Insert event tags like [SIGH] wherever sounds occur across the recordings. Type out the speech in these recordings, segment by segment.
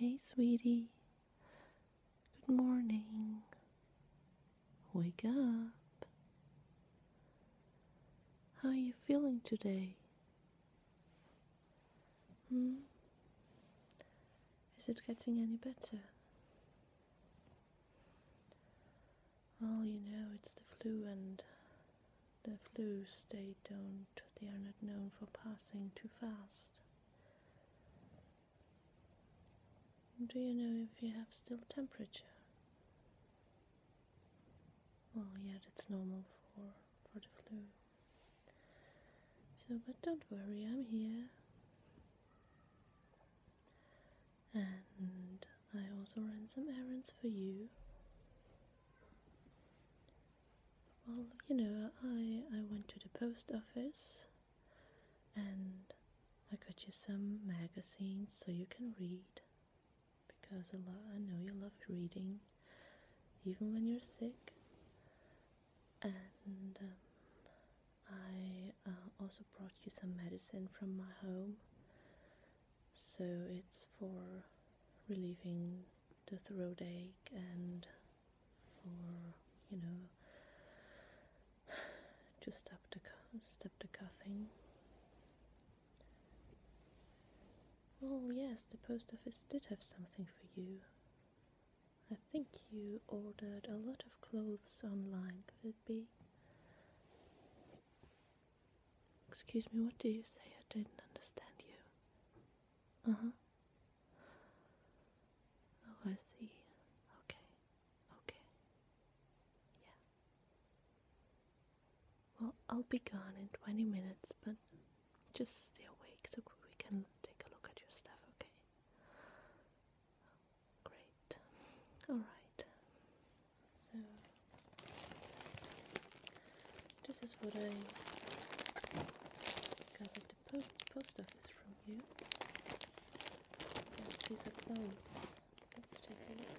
Hey, sweetie. Good morning. Wake up. How are you feeling today? Hmm. Is it getting any better? Well, you know, it's the flu and the flus, they don't, they are not known for passing too fast. Do you know if you have still temperature? Well, yeah, that's normal for, for the flu. So, but don't worry, I'm here. And I also ran some errands for you. Well, you know, I, I went to the post office and I got you some magazines so you can read because I, lo- I know you love reading even when you're sick. And um, I uh, also brought you some medicine from my home. So it's for relieving the throat ache and for, you know, [SIGHS] to stop the stop the coughing. Well, oh, yes, the post office did have something for you. I think you ordered a lot of clothes online, could it be? Excuse me, what did you say? I didn't understand you. Uh huh. Oh, I see. Okay. Okay. Yeah. Well, I'll be gone in 20 minutes, but just stay awake so we can take a look at your stuff, okay? Great. Alright. So, this is what I got at the post office from you. these are clothes. Let's take a look.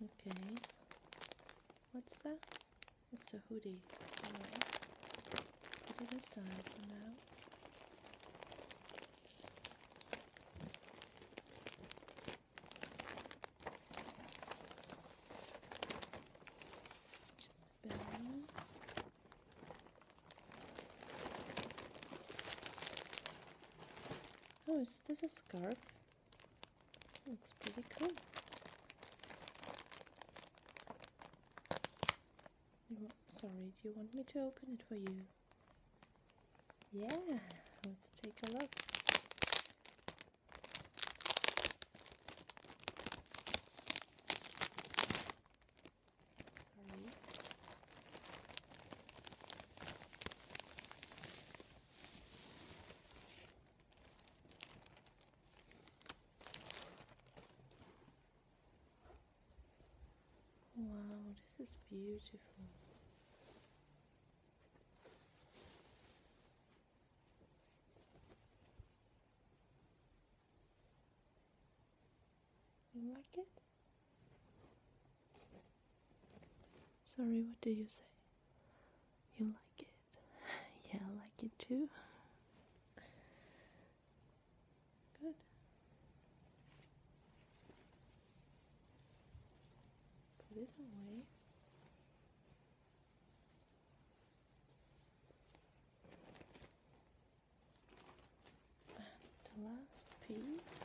Okay. What's that? It's a hoodie. Anyway, put it aside for now. Just the belly. Oh, is this a scarf? Looks pretty cool. sorry, do you want me to open it for you? Yeah, let's take a look. Wow, this is beautiful. You like it? Sorry, what do you say? You like it? [LAUGHS] Yeah, I like it too. Good. Put it away. the last piece.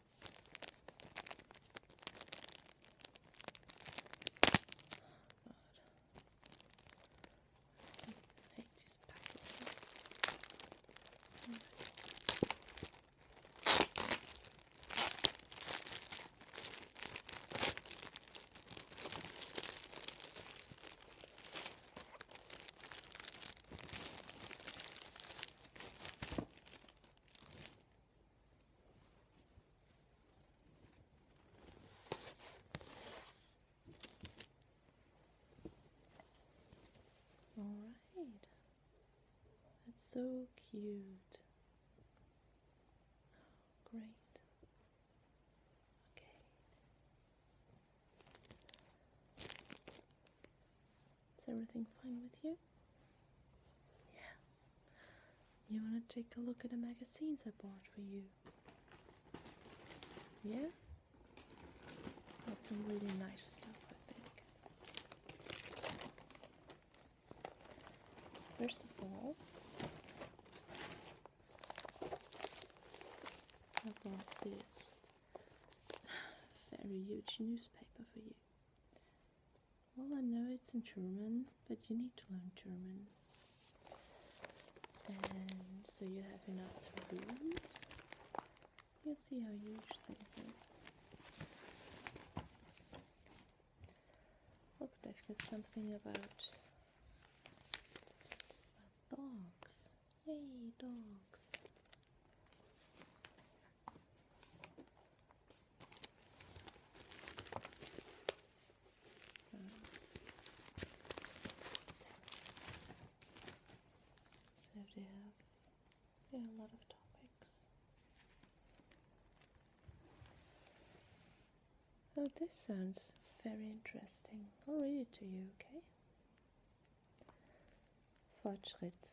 I hate these packages. Alright, that's so cute. great. Okay. Is everything fine with you? Yeah. You want to take a look at the magazines I bought for you? Yeah? Got some really nice stuff, I think. first of all, I bought this [SIGHS] very huge newspaper for you. Well, I know it's in German, but you need to learn German. And so you have enough to read. You'll see how huge this is. Look, they've got something about, dogs. Hey, dogs. So, so yeah, a lot of topics. Oh, this sounds very interesting. I'll read it to you, okay? Fortschritt.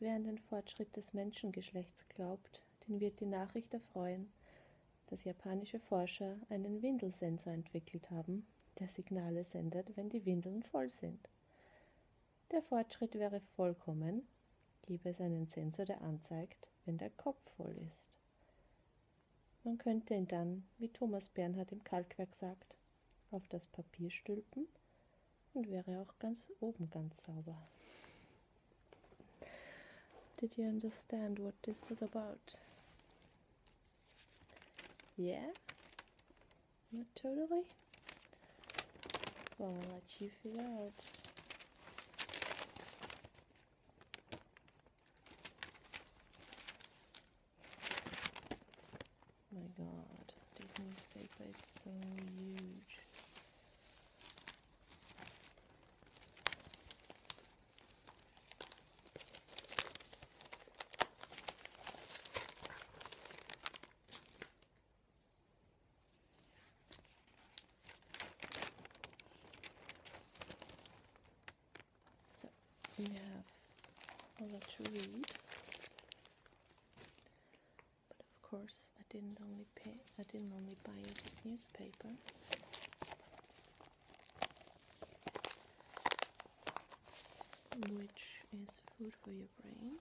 Wer an den Fortschritt des Menschengeschlechts glaubt, den wird die Nachricht erfreuen, dass japanische Forscher einen Windelsensor entwickelt haben, der Signale sendet, wenn die Windeln voll sind. Der Fortschritt wäre vollkommen, gäbe es einen Sensor, der anzeigt, wenn der Kopf voll ist. Man könnte ihn dann, wie Thomas Bernhard im Kalkwerk sagt, auf das Papier stülpen und wäre auch ganz oben ganz sauber. Did you understand what this was about? Yeah? Not totally? Well, I'll let you figure out. Oh my god. This newspaper is so huge. So we have a lot to read. But of course, I didn't only pay, I didn't only buy this newspaper. Which is food for your brain.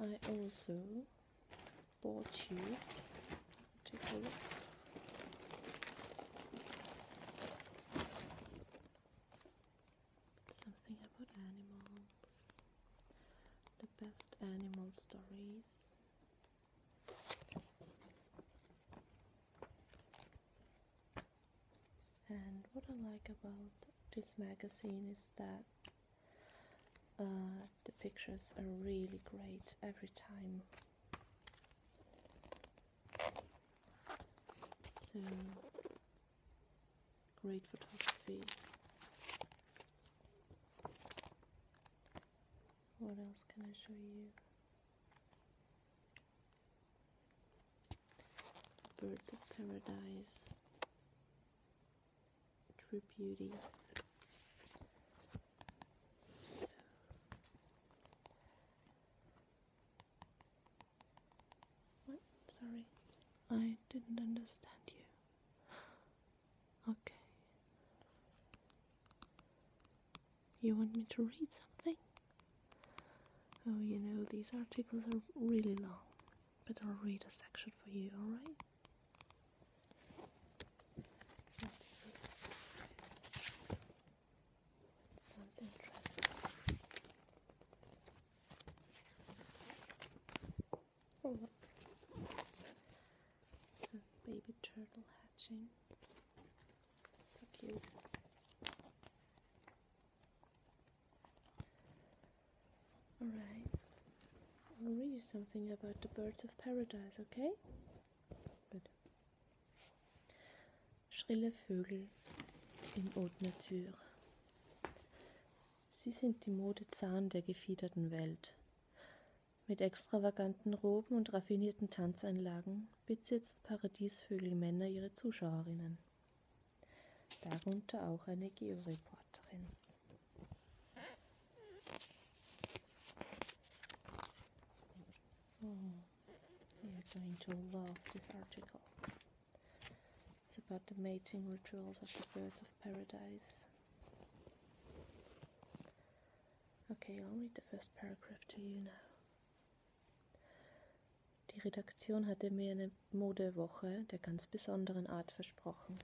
I also bought you. Take a look something about animals, the best animal stories. And what I like about this magazine is that uh, the pictures are really great every time. So Great photography. What else can I show you? Birds of Paradise, True Beauty. Sorry, I didn't understand you. Okay. You want me to read something? Oh, you know, these articles are really long, but I'll read a section for you, alright? baby turtle hatching. So cute. Alright. I'll read you something about the birds of paradise, okay? Schrille Vögel in Haute Sie sind die Mode Zahn der gefiederten Welt. Mit extravaganten Roben und raffinierten Tanzeinlagen besitzen Paradiesvögel Männer ihre Zuschauerinnen. Darunter auch eine Georeporterin. Oh, you're going to love this article. It's about the mating rituals of the birds of paradise. Okay, I'll read the first paragraph to you now. Die Redaktion hatte mir eine Modewoche der ganz besonderen Art versprochen.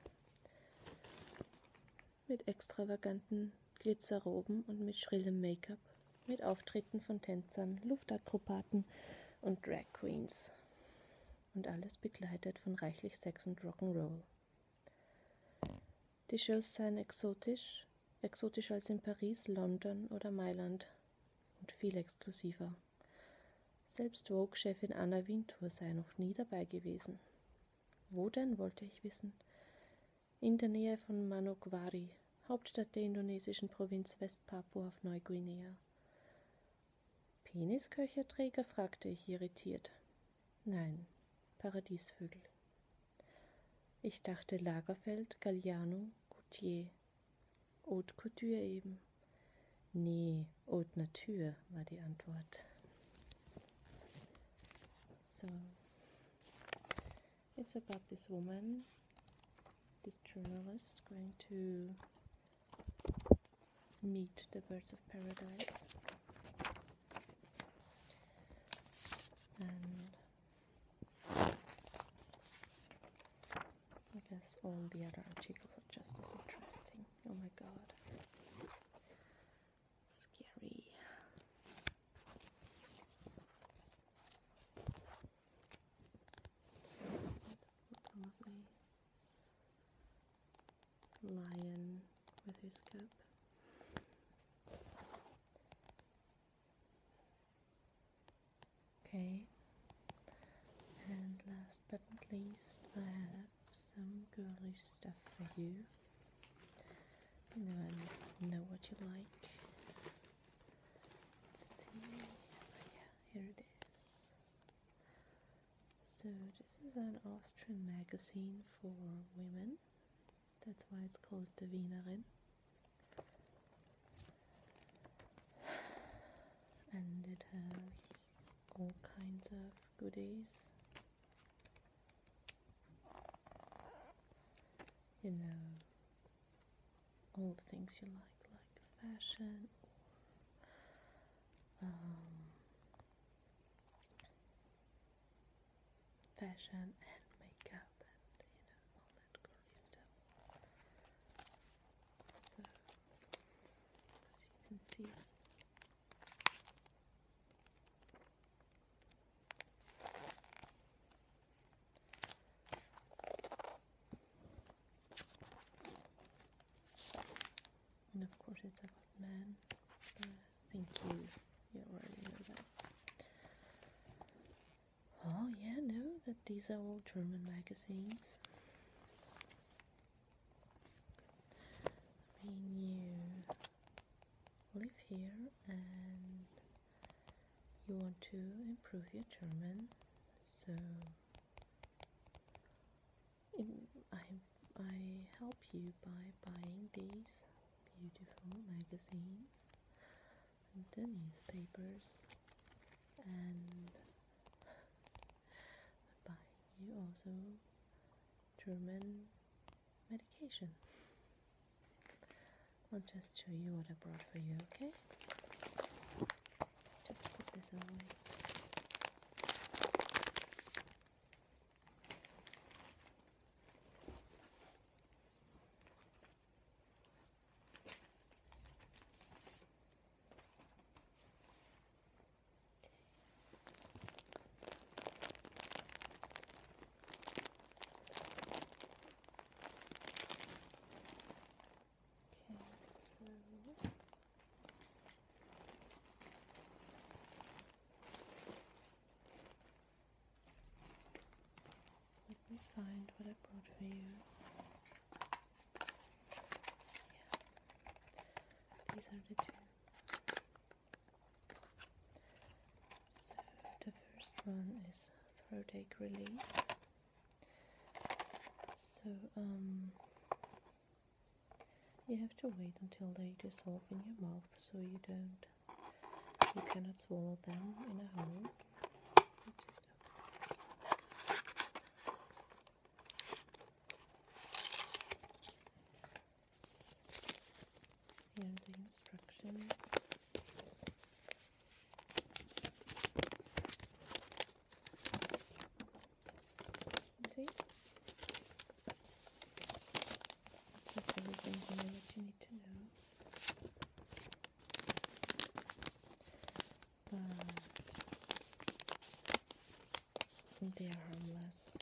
Mit extravaganten Glitzerroben und mit schrillem Make-up, mit Auftritten von Tänzern, Luftakrobaten und Drag Queens und alles begleitet von reichlich Sex und Rock'n'Roll. Die Shows seien exotisch, exotischer als in Paris, London oder Mailand und viel exklusiver. Selbst Vogue-Chefin Anna Wintour sei noch nie dabei gewesen. Wo denn, wollte ich wissen. In der Nähe von Manokwari, Hauptstadt der indonesischen Provinz Westpapua auf Neuguinea. Penisköcherträger? fragte ich irritiert. Nein, Paradiesvögel. Ich dachte Lagerfeld, Galliano, Gautier. Haute Couture eben. Nee, Haute Nature war die Antwort. So, it's about this woman, this journalist, going to meet the birds of paradise. And I guess all the other articles are just as interesting. Oh my god. Scary. So lovely lion with his cup. Okay, and last but not least, I have some girly stuff for you. You know, I know what you like. Let's see, oh, yeah, here it is. So this is an Austrian magazine for women. That's why it's called the Wienerin. And it has all kinds of goodies. You know, all the things you like, like fashion um, fashion and makeup and you know all that girly stuff. So as you can see and of course it's about men uh, Thank you you already know that oh yeah no that these are all German magazines I mean you live here and you want to improve your German so I, I help you by buying these beautiful magazines and newspapers and by you also German medication. I'll just show you what I brought for you, okay? Just put this away. Okay, so let me find what I brought for you. Yeah, these are the two. So the first one is throat ache relief. So um, you have to wait until they dissolve in your mouth so you don't, you cannot swallow them in a hole. Here are the instructions. See? Just everything that you need to know. they are harmless.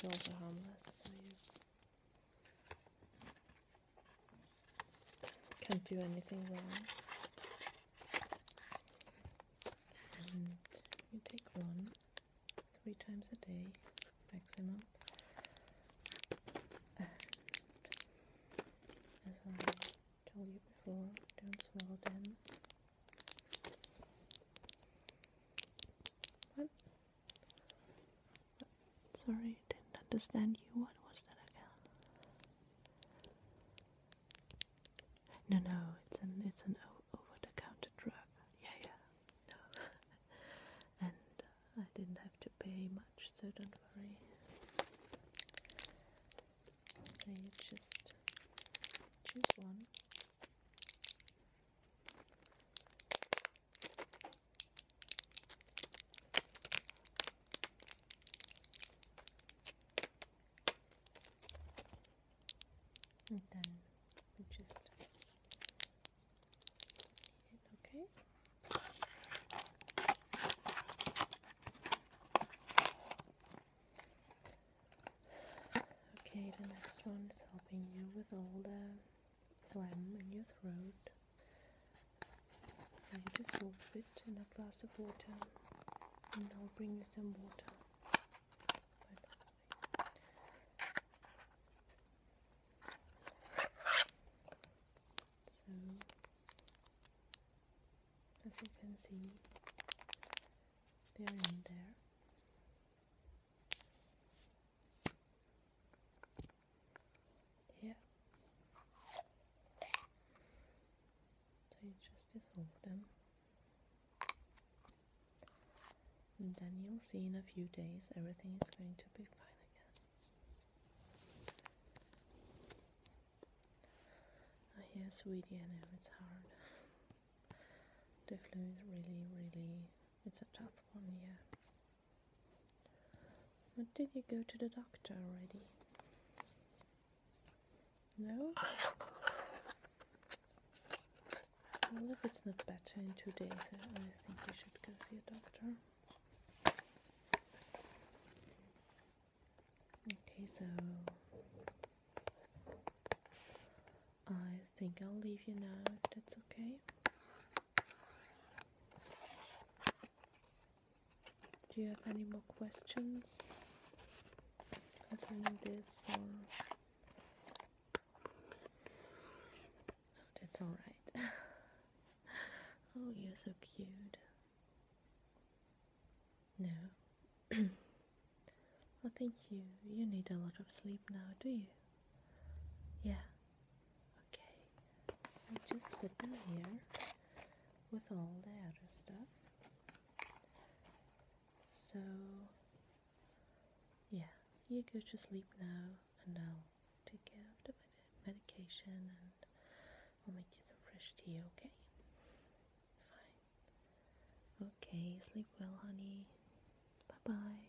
They're also harmless, so you can't do anything wrong and you take one three times a day maximum as I told you before don't swallow them what? Sorry, didn't understand you. What was that again? No, no, it's an it's an over-the-counter drug. Yeah, yeah, no. [LAUGHS] and uh, I didn't have to pay much, so don't worry. So you just choose one and then we just hit okay. Okay, the next one is helping you with all the phlegm in your throat. You dissolve it in a glass of water, and I'll bring you some water. So, as you can see, they are in there. Here. So you just dissolve them. And then you'll see in a few days everything is going to be fine again. I sweetie, I know it's hard. the flu is really, really, it's a tough one, yeah. But did you go to the doctor already? No? Well, if it's not better in two days, I think you should go see a doctor. Okay, so I think I'll leave you now that's okay. Do you have any more questions concerning this or? Oh, that's alright. [LAUGHS] oh, you're so cute. No. well, [CLEARS THROAT] oh, thank you. You need a lot of sleep now, do you? Yeah. Okay. i just put them here with all the other stuff. So, yeah, you go to sleep now, and I'll take care of the medication and I'll make you some fresh tea, okay? Fine. Okay, sleep well, honey. Bye bye.